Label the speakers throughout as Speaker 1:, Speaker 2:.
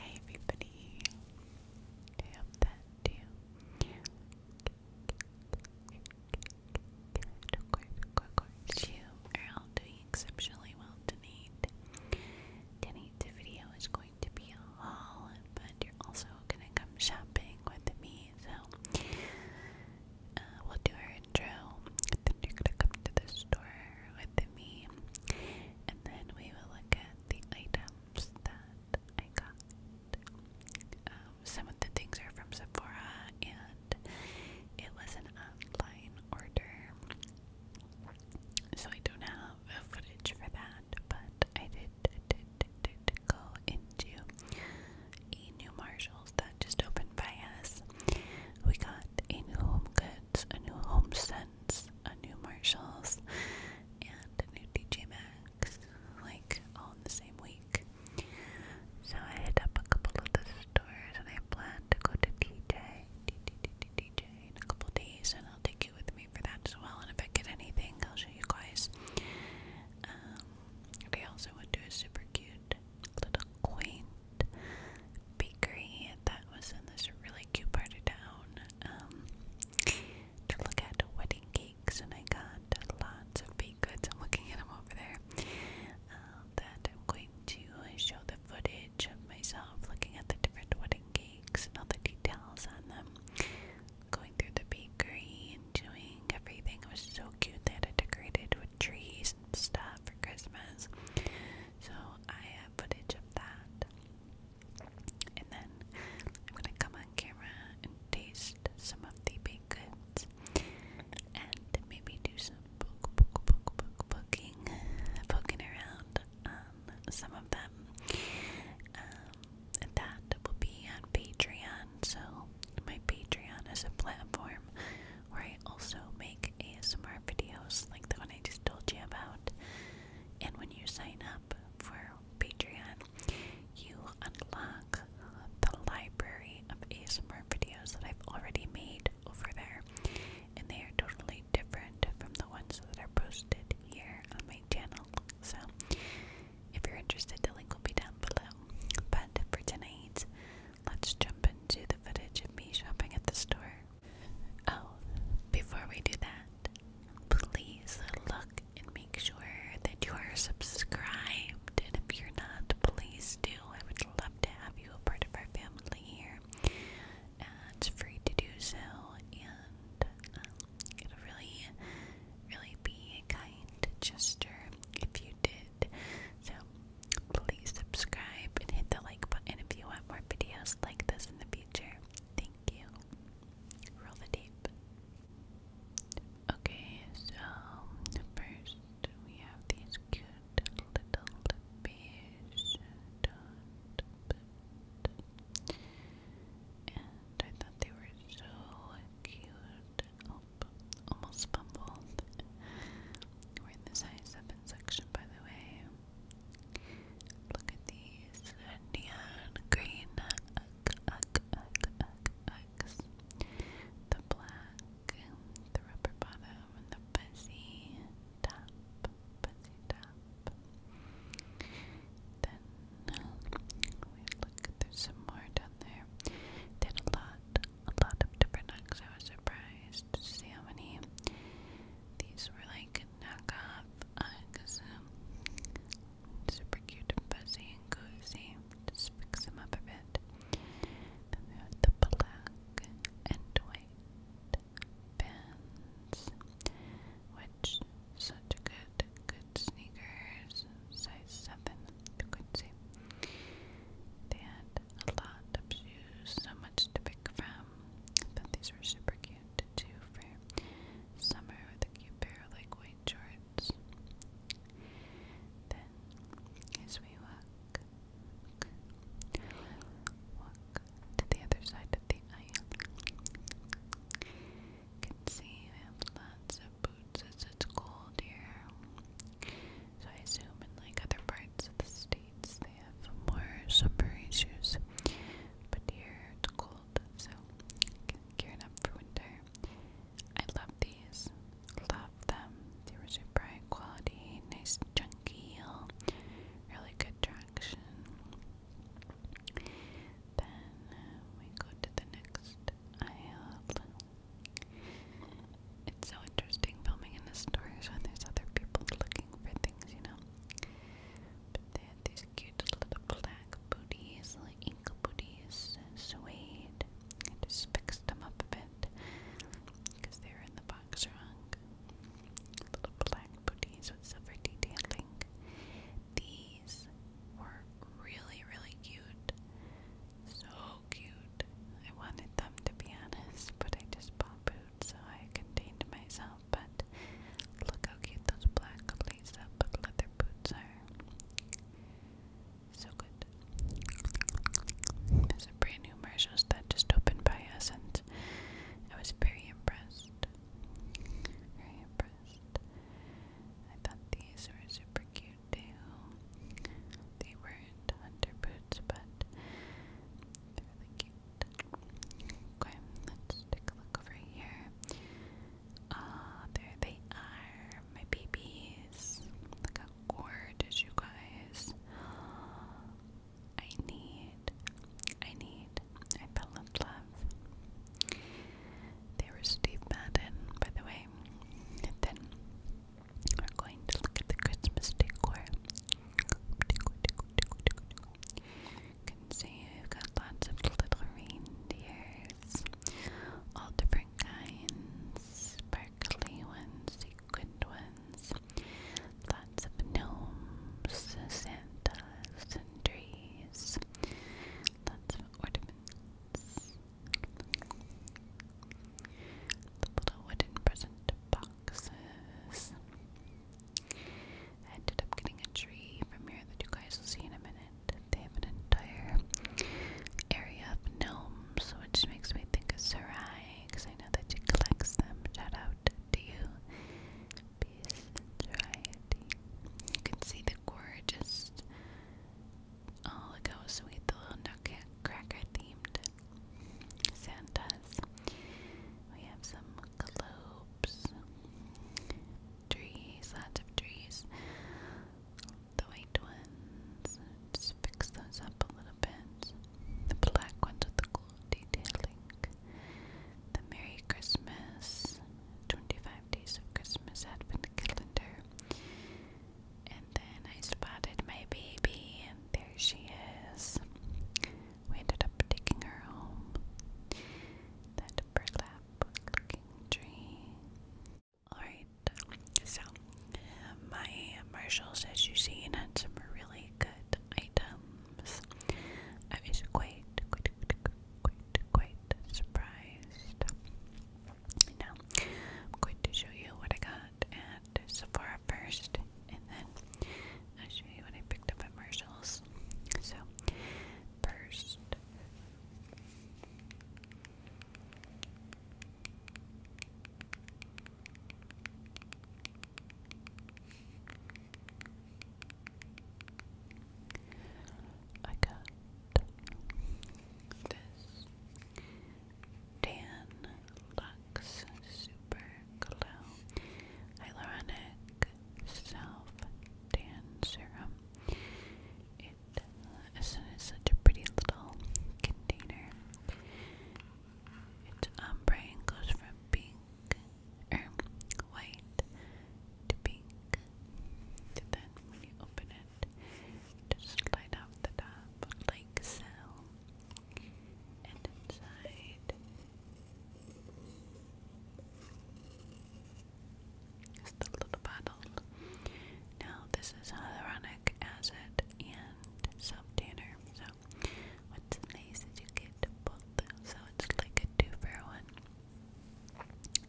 Speaker 1: Hey everybody, I that you you are all doing exceptionally well tonight. Tonight's video is going to be a haul, but you're also gonna come shopping with me, so uh, we'll do our intro, and then you're gonna come to the store, with me, and then we will look at the items that I got. Um, some of the things are from Sephora, and it was an online order, so I don't have footage for that, but I did, did, did, did go into a new Marshalls that just opened by us. We got a new home goods a new HomeSense, a new Marshalls, and a new DJ Max, like all in the same week. So I hit up a couple of the stores and I plan to go to DJ, DJ in a couple days, and I'll take you with me for that as well. And if I get anything, I'll show you guys. Um, I also went to a super cute little Queen bakery that was in this really cute part of town um, to look at wedding cakes, and I got lots of baked goods. I'm looking at them over there. Um, that I'm going to show the footage of myself looking at the different wedding cakes and all the details on them. Going through the bakery, enjoying everything. It was so cute. They it decorated with trees and stuff for Christmas. So I have footage of that. And then I'm gonna come on camera and taste some of the baked goods and maybe do some poking, poking around on some of them. Um, that will be on Patreon, so my Patreon is a platform where I also make ASMR videos like the one I just told you about. And when you sign up for Patreon, you unlock the library of ASMR videos that I've already made over there. And they are totally different from the ones that are posted here on my channel. So if you're interested, the link will be down below. But for tonight, Let's jump into the footage of me shopping at the store. Oh, before we do that, please look and make sure that you are subscribed. And if you're not, please do. I would love to have you a part of our family here. Uh, free to do so, and um, it'll really, really be a kind gesture if you did. So Please subscribe and hit the like button if you want more videos like this in the future. Thank you. Roll the tape. Okay, so first we have these cute little beige and I thought they were so cute. Oh, almost fumbled. We're in the size 7 section, by the way. Look at these neon green X. The black, the rubber bottom, and the fuzzy top. Then we look, there's some more down there. Did a lot, a lot of different eggs. I was surprised just to see how many these were like knockoff Uggs. Uh, um, super cute and fuzzy and cozy. Just fix them up a bit. Then we have the black and white pins, which such good, good sneakers. Size seven, you could see. They had a lot of shoes, so much to pick from. But these were super cute too for summer with a cute pair of like white shorts. Then as we walk, walk to the other side of the aisle. You can see we have lots of boots as it's cold here. So I assume in like other parts of the states they have more summer issues. But here it's cold, so gearing up for winter. I love these. Love them. They were super bright, quality, nice chunky heel, really good traction. Then uh, we go to the next aisle it's so interesting filming in the stores when there's other people looking for things, you know. But they had these cute little black booties, like ink booties, suede. I just fixed them up a bit because they were in the box wrong. Little black booties with silver detailing. These were really, really cute. So cute. I wanted them to be honest, but I just bought boots, so I contained myself. But look how cute those black lace up leather boots are. So good. There's a brand new Marshalls that just opened by us, and I was very impressed. Very impressed. I thought these were super cute too. They weren't hunter words, but they're really cute. Okay, let's take a look over here. Ah, there they are, my babies. Look how gorgeous you guys. I need, I need, I fell love. They were Steve Madden, by the way. then we're going to look at the Christmas decor. can see we've got lots of little reindeers, all different kinds, sparkly ones, sequined ones, lots of gnomes, Santas, and trees, lots of ornaments little wooden present boxes. I ended up getting a tree from here that you guys will see in a minute. They have an entire area of gnomes, which makes me think of Sarai, because I know that she collects them. Shout out to you, Peace Variety. You can see the gorgeous. Oh, look sweet the little nutcracker themed Santas. We have some globes, trees, lots of trees. The white ones, just fix those up a little bit. The black ones with the gold detailing. The Merry Christmas, 25 Days of Christmas Advent Calendar. And then I spotted my baby, and there she is. We ended up taking her home. That burlap looking tree. Alright, so my Marshalls, as you see, had some really good items. I was quite, quite, quite, quite surprised. Now, I'm going to show you what I got at Sephora first, and then I'll show you what I picked up at Marshalls. So, first, I got this Dan Lux Super Glow Hyaluronic Self Tan Serum. It uh, is such a pretty little container. Its ombre and goes from pink, er, white to pink. And then when you open it, just light up the top like so. And inside is the little bottle. Now this is hyaluronic acid and self tanner. So what's nice is you get both. So it's like a two for one.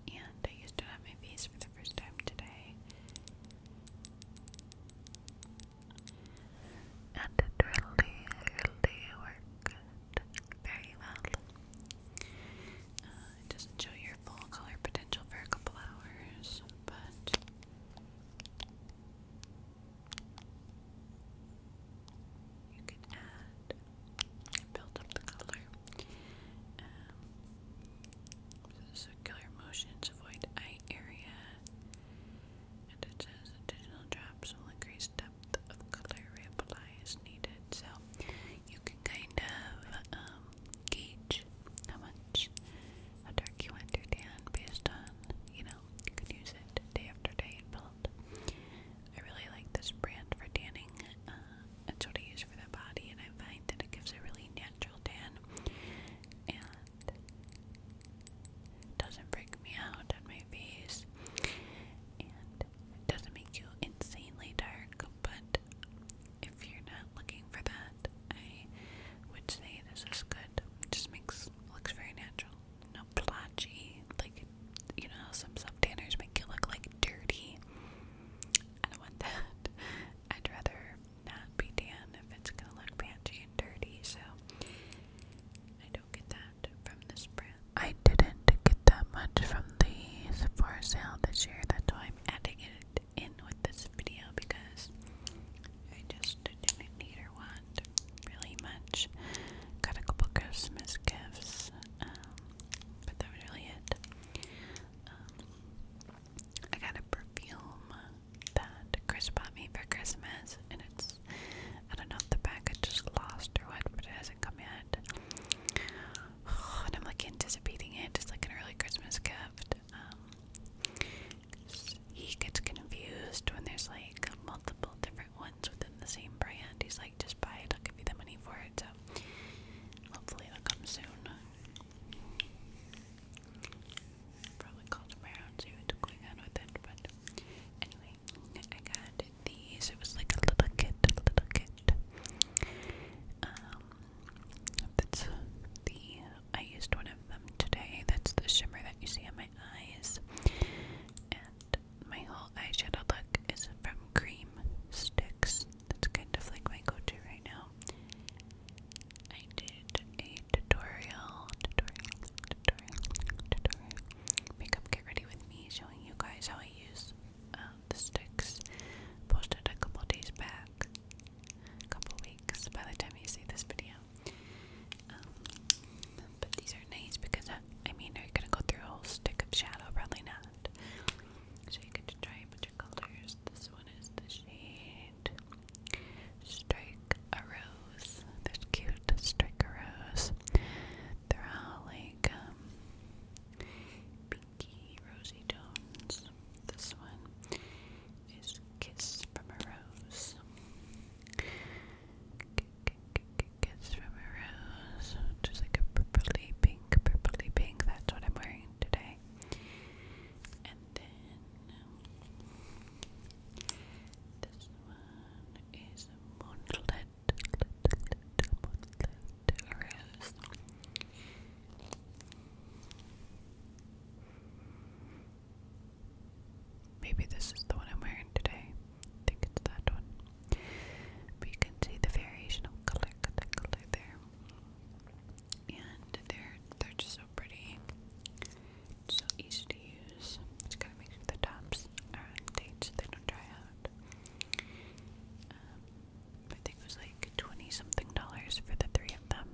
Speaker 1: And I used it on my face for the first time today. And it really, really worked very well. it doesn't show your full color potential for a couple hours, but. You can add build up the color. Um, so circular motions avoid eye area. And it says additional drops will increase depth of color reapply as needed. So you can kind of um, gauge how much how dark you want your tan based on, you know, you can use it day after day and build. I really like this brand for tanning. Uh, that's what I use for the body, and I find that it gives a really natural tan. And that. It doesn't freak me out at my face, and doesn't make you insanely dark. But if you're not looking for that, I would say this is good. It just makes looks very natural, no blotchy. Like you know, some sub tanners make you look like dirty. I don't want that. I'd rather not be tan if it's going and dirty, so I don't get that from this brand. I didn't get that much from the Sephora sale this year, that's why I'm adding it in with this video because I just didn't need or want really much. Got a couple Christmas gifts, um, but that was really it. Um, I got a perfume that Chris bought me for Christmas, and it's I don't know if the package is lost or what, but it hasn't come yet. Oh, and I'm like anticipating it as like an early Christmas gift. Um, he gets confused when there's like multiple different ones within the same brand. He's like, just buy it. I'll give you the money for it. So hopefully it'll come soon. Probably called him around, see what's going on with it, but anyway, I got these. It was like a little kit, a little kit. Um, that's the, I used one of them today. That's the shimmer that you see on my eyes. And my whole eyeshadow look is from Cream Sticks. That's kind of like my go-to right now. I did a tutorial, tutorial, tutorial, tutorial, makeup get ready with me, showing you guys how I use um, the sticks. Posted a couple days back, a couple weeks by the time you see this video. Um, but these are nice because, uh, I mean, are you going to go through a whole stick of shadow? Probably not. So you get try a bunch of colors. This one is the shade Strike a Rose. There's cute Strike a Rose. They're all like um, pinky, rosy tones. This one is Kiss from a Rose. Kiss from a Rose. Just like a purpley pink, purpley pink. That's what I'm wearing today then this one is Moonlit, Moonlit, Maybe this is the one I'm wearing today. I think it's that one. you can see the variation of color, color, color there and they're they're just so pretty, so easy to use. Just gotta make sure the tops are on date so they don't dry out. Um, I think it was like twenty something dollars for the three of them,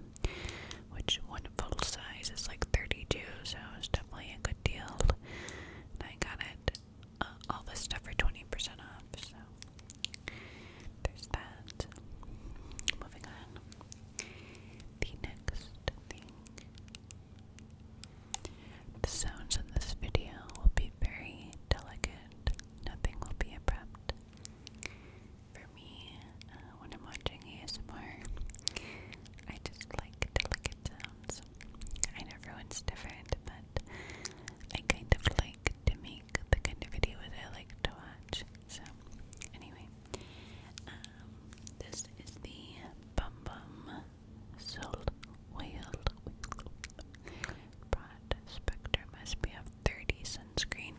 Speaker 1: which one full size is like thirty two, so it's definitely a good deal. I got it uh, all the stuff for twenty percent off, so there's that. Moving on. The next thing. The sounds in this video will be very delicate. Nothing will be abrupt. For me, uh, when I'm watching ASMR, I just like delicate sounds. I know everyone's different, but I kind of like to make the kind of videos I like to watch. So, anyway, um, this is the Bum Bum Soul Whale Broad SPF 30 sunscreen.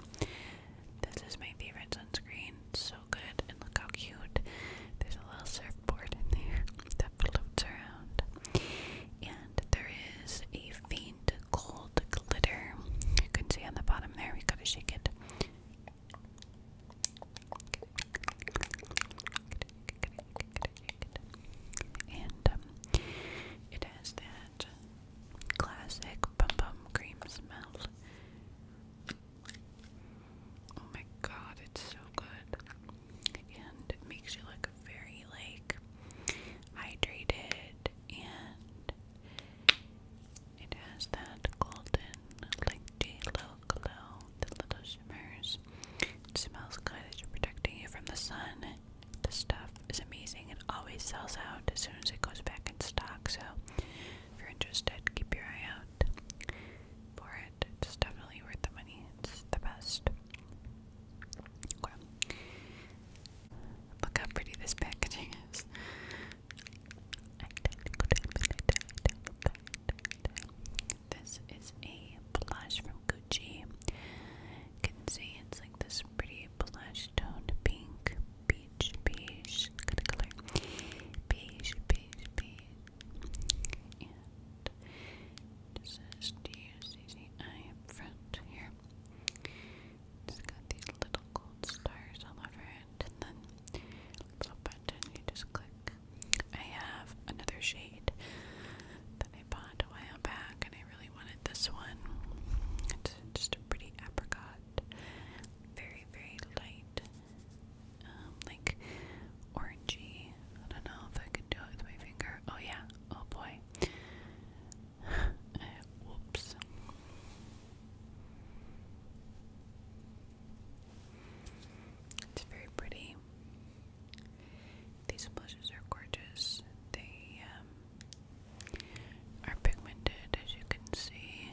Speaker 1: This is my favorite sunscreen. so good, and look how cute. There's a little surfboard in there that floats around, and there is a fan light gold glitter. You can see on the bottom there, we gotta shake it. And um, it has that classic bum bum cream smell. Oh my god, it's so good. And it makes you look very like hydrated and it has that golden, like glow, the little shimmers. It smells good, it's protecting you from the sun. The stuff is amazing. It always sells out as soon as it goes back in stock, so if you're interested, keep your eye out for it. It's definitely worth the money. It's the best. Okay. Look how pretty this packaging is. This is a blush from Gucci. You can see it's like this pretty blush toned pink, peach, peach kind of color. Beige, beige, beige. And this is D-U-C-C-I up front here. It's got these little gold stars all over it, and then little button you just click. I have another shade that I bought a while back, and I really wanted this one. It's just a pretty apricot, very, very light, um, like orangey. I don't know if I can do it with my finger. Oh, yeah, oh boy, Whoops. It's very pretty. These blushes are gorgeous. They um, are pigmented, as you can see.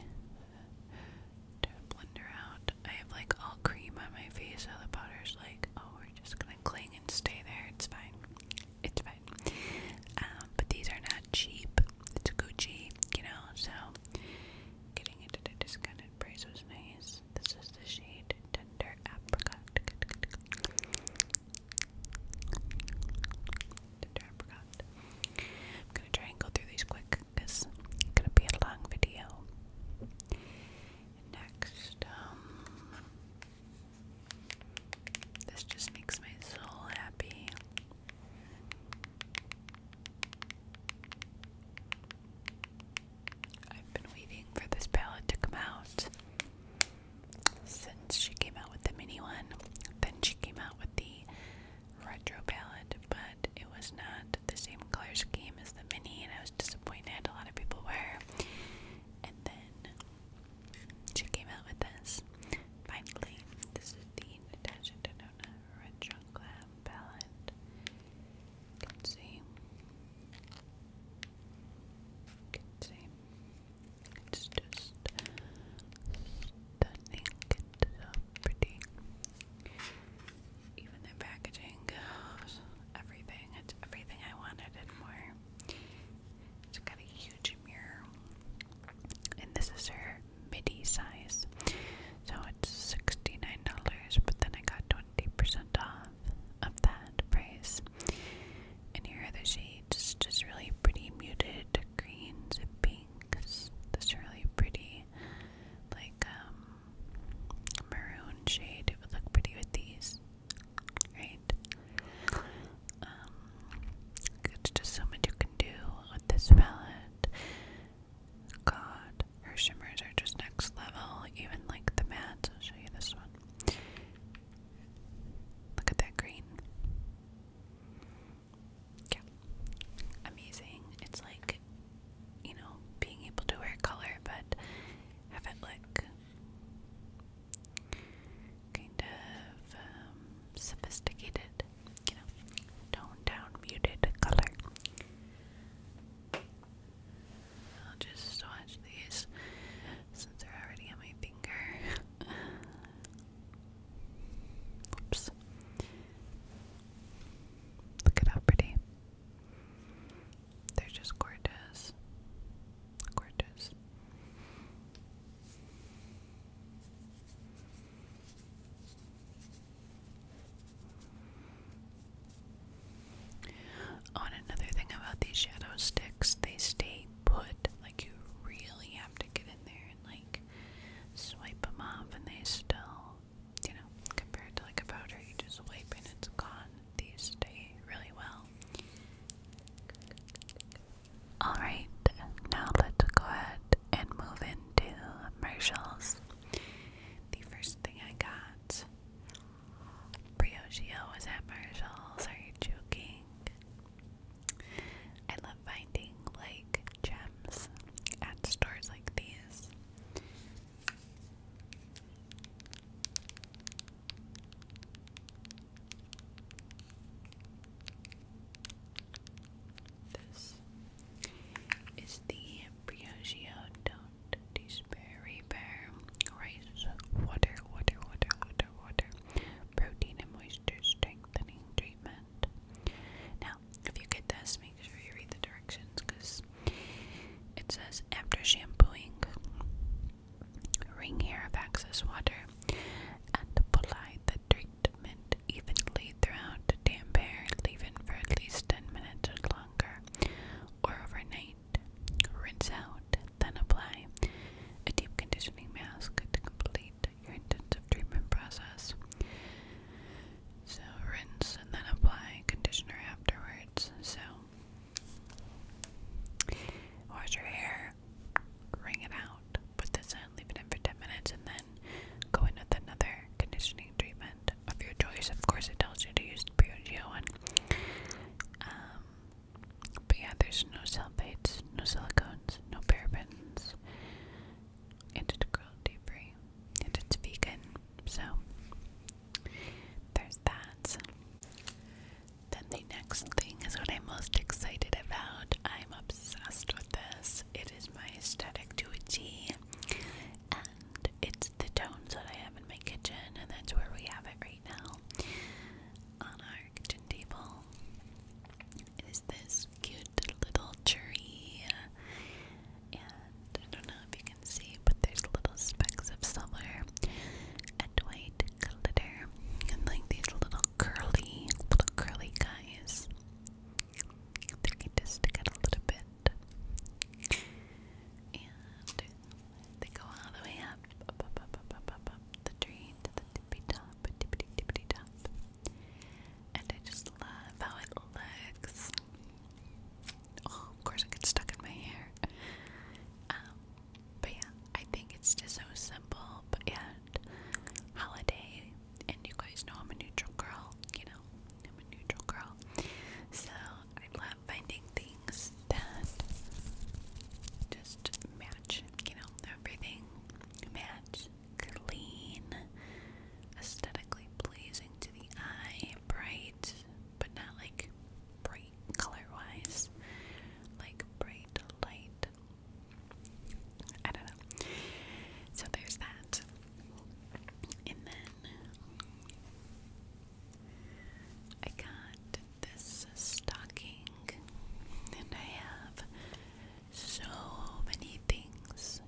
Speaker 1: To blender out, I have like all cream on my face, so the powder's like, oh, we're just gonna cling and stay there. It's fine it's fine. Um, but these are not cheap. It's Gucci, you know, so getting into the a discounted price was nice. This is the shade Tender Apricot. I'm gonna try and go through these quick because it's gonna be a long video. Next, um, this just makes my soul happy. I've been waiting for this palette to come out since she came out with the mini one. Then she came out with the retro palette, but it was not the same color scheme as the mini, and I was disappointed. A lot of people were. And then she came out with this. Finally, this is the Natasha Denona Retro Glam palette. can see. can see. It's just stunning. It's so pretty. Even the packaging, goes everything. It's everything I wanted and more. It's got a huge mirror, and this is her midi size. So it's $69, but then I got 20% off of that price. And here are the shades, just really pretty muted greens and pinks. This really pretty, like, um, maroon shade. It would look pretty with these right? Um, it's just so much you can do with this palette. God, her shimmers are just next level, even like the mattes. I'll show you this one. Look at that green. Yeah, amazing. It's like, you know, being able to wear color but have it like kind of um, sophisticated, you know, toned down, muted color. I'll just swatch these since they're already on my finger. Oops. Look at how pretty. They're just gorgeous. Gorgeous. On oh, another thing about these shadow sticks, they stay put. Like you really have to get in there and like swipe them off, and they still, you know, compared to like a powder, you just wipe and it's gone these stay really well. Alright, now let's go ahead and move into commercials. The first thing I got Briogeo was at Marshalls. Are you joking? I love finding like gems at stores like these. This is the Briogeo Don't Despair Repair Rice Water Water Water Water Water Protein and Moisture Strengthening Treatment. Now, if you get this, make sure you read the directions because it says after shampooing, Ring here of Harifax's water and apply the treatment evenly throughout damp hair, leaving for at least 10 minutes or longer, or overnight. Rinse out, then apply a deep conditioning mask to complete your intensive treatment process. So, rinse and then apply conditioner afterwards. So, Wash your hair, wring it out, put this in, leave it in for 10 minutes, and then go in with another conditioning treatment of your choice. Of course, it tells you to use the Purogeo one. Um, but yeah, there's no sulfates, no silicones, no parabens, and it's cruelty free, and it's vegan. So, there's that. Then the next thing is what I'm most excited about. I'm obsessed with this. It is my aesthetic to a T. And it's the tones that I have in my kitchen, and that's where we have it right now on our kitchen table. It is this cute little tree. And I don't know if you can see, but there's little specks of silver and white glitter and like these little curly, little curly guys. I think I just stick out a little bit. And they go all the way up, the tree to the tippy top, tippity tippity top. And I just love how it looks. Oh, of course, it gets stuck in my hair. Um, but yeah, I think it's just so simple, but and holiday, and you guys know I'm a neutral girl, you know, I'm a neutral girl. So I love finding things that just match, you know, everything match, clean, aesthetically pleasing to the eye, bright, but not like bright color wise, like bright light. I don't know. So there's that. And then I got this stocking, and I have so many things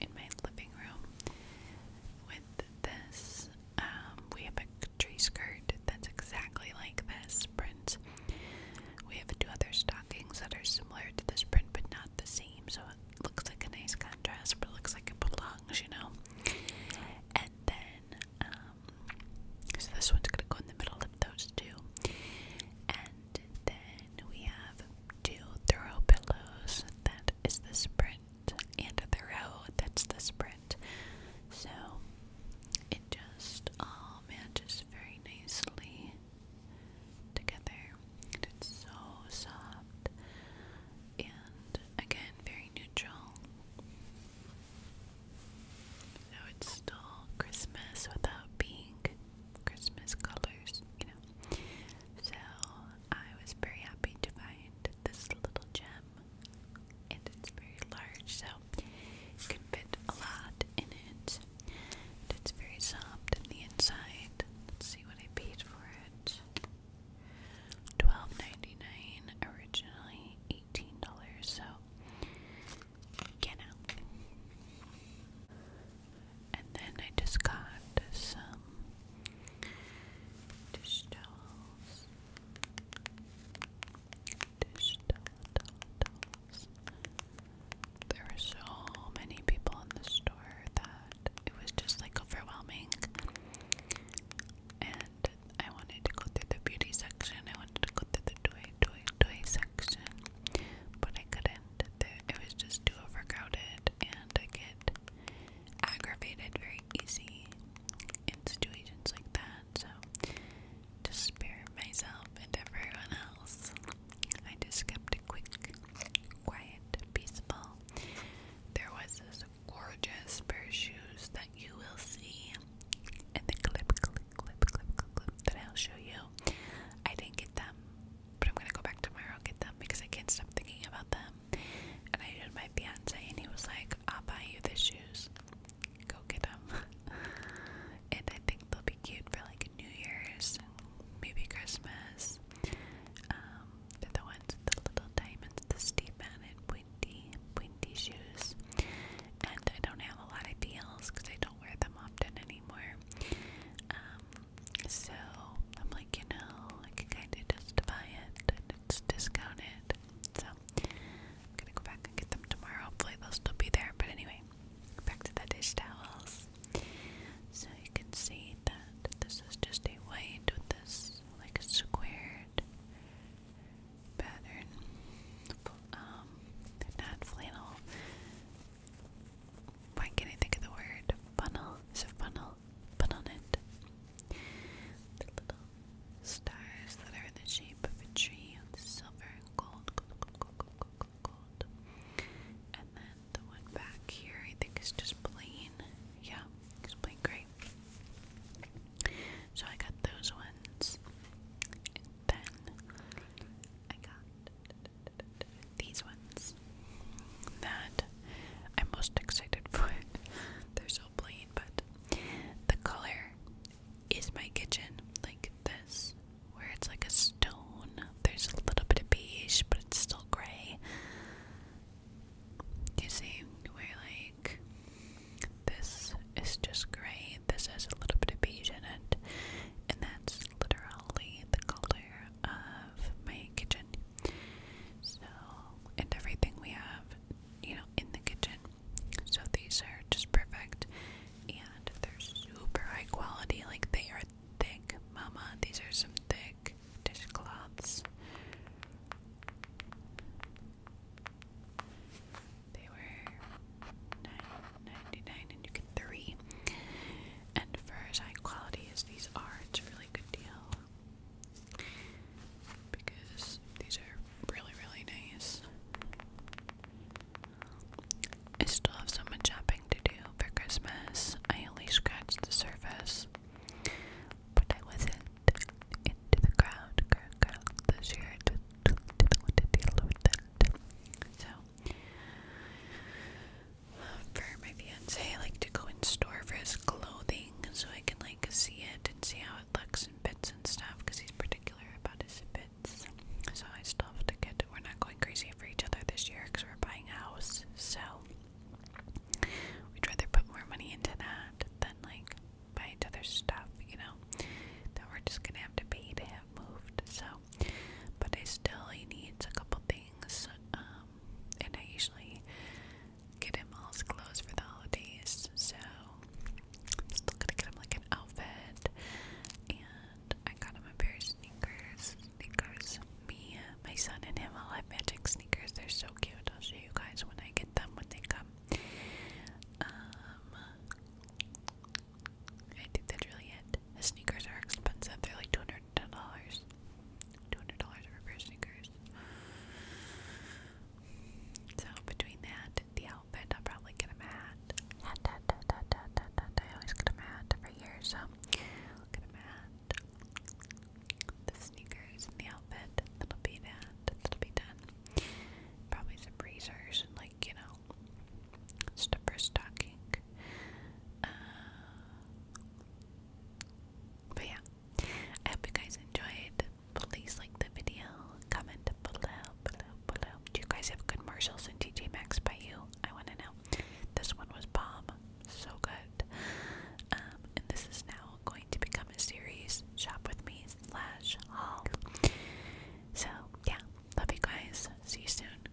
Speaker 1: in my living room with this. Um, we have a tree skirt that's exactly like this print. We have two other stockings that are similar to this print but not the same, so it looks like a nice contrast, but looks like it belongs, you know. And then, um, so this one's gonna go in the middle of those two. And then we have two throw pillows. That is the print and thorough. That's the sprint. So it just all oh matches very nicely together. it's so soft and again very neutral. So it's still Christmas without being Christmas colors, you know. So I was very happy to find this little gem, and it's very large, so you can fit a lot in it. And it's very soft on the inside. Let's see what I paid for it. Twelve ninety nine originally, eighteen dollars. So, get out. And then I just got some dish towels. Dish towels. There were so many people in the store that it was just like overwhelming. And I wanted to go through the beauty section. I wanted to go through the toy, toy, toy section. But I couldn't. It was just too overcrowded. And I aggravated very easy in situations like that. So, to spare myself and everyone else, I just kept it quick, quiet, peaceful. There was this gorgeous pair of shoes that you will see in the clip, clip, clip, clip, clip, clip that I'll show you. I didn't get them but I'm gonna go back tomorrow and get them because I can't stop thinking about them. And I showed my fiance, and he was like, I'll buy you the shoes. Go get them. and I think they'll be cute for like New Year's, maybe Christmas. Um, they're the ones with the little diamonds, the steep mounted, pointy, pointy shoes. And I don't have a lot of deals because I don't wear them often anymore. Um, so I'm like, you know, I can kind of just buy it and it's discounted. So I'm gonna go back and get them tomorrow. Hopefully they'll still be there. But anyway, back to the dish towels. So you can see that this is just a white with this like a squared pattern. Um, not flannel. Why can't I think of the word? Funnel. It's a funnel little on it. The little stars that are in the shape of a tree of silver and gold, gold, gold, gold, gold, gold, gold. And then the one back here, I think is just plain. Yeah, it's plain gray. So I got those ones. And then I got these ones that I'm most excited for. They're so plain, but the color is my kitchen, like this, where it's like a stone. There's a little bit of beige, but it's still gray. You see, where like this is just gray, this has a little bit of beige in it, and that's literally the color of my kitchen. So, and everything we have, you know, in the kitchen. So these are just perfect and they're super high quality. Like they are thick, mama. These are some thick dishcloths. They were nine ninety nine, and you get three and for as high quality as these are, it's a really good deal because these are really, really nice. I still have so much shopping to do for Christmas. I only scratched the surface, but I wasn't into the crowd, crowd, crowd didn't want to deal with it. So, for my fiance like to go in store for his clothing so I can like see it and see how it looks and fits and stuff because he's particular about his fits. So I still have to get. We're not going crazy for each other this year because we're buying a house. So we'd rather put more money into that than like buy each other stuff, you know. That we're just gonna have to pay to have moved. So, but I still he needs a couple things. Um, um, and I usually get him all his clothes for the holidays, so I'm still gonna get him like an outfit. And I got him a pair of sneakers. Sneakers. Me, my son, and him all have magic sneakers. They're so cute. I'll show you guys when I get them when they come. Um, I think that's really it. The sneakers are expensive. They're like $250 ten dollars, two hundred dollars for a pair of sneakers. So between that, the outfit, I'll probably get a hat. I always get a hat every year, so get a hat. The sneakers and the outfit, that'll be that. That'll be done. Probably some razors and like you know, stuff stocking. Uh, but yeah, I hope you guys enjoyed. Please like the video, comment below, below, below. Do you guys have good Marshalls and TJ Maxx by you? I want to know. This one was bomb, so good. Um, and this is now going to become a series. Shop with me slash haul. So yeah, love you guys. See you soon.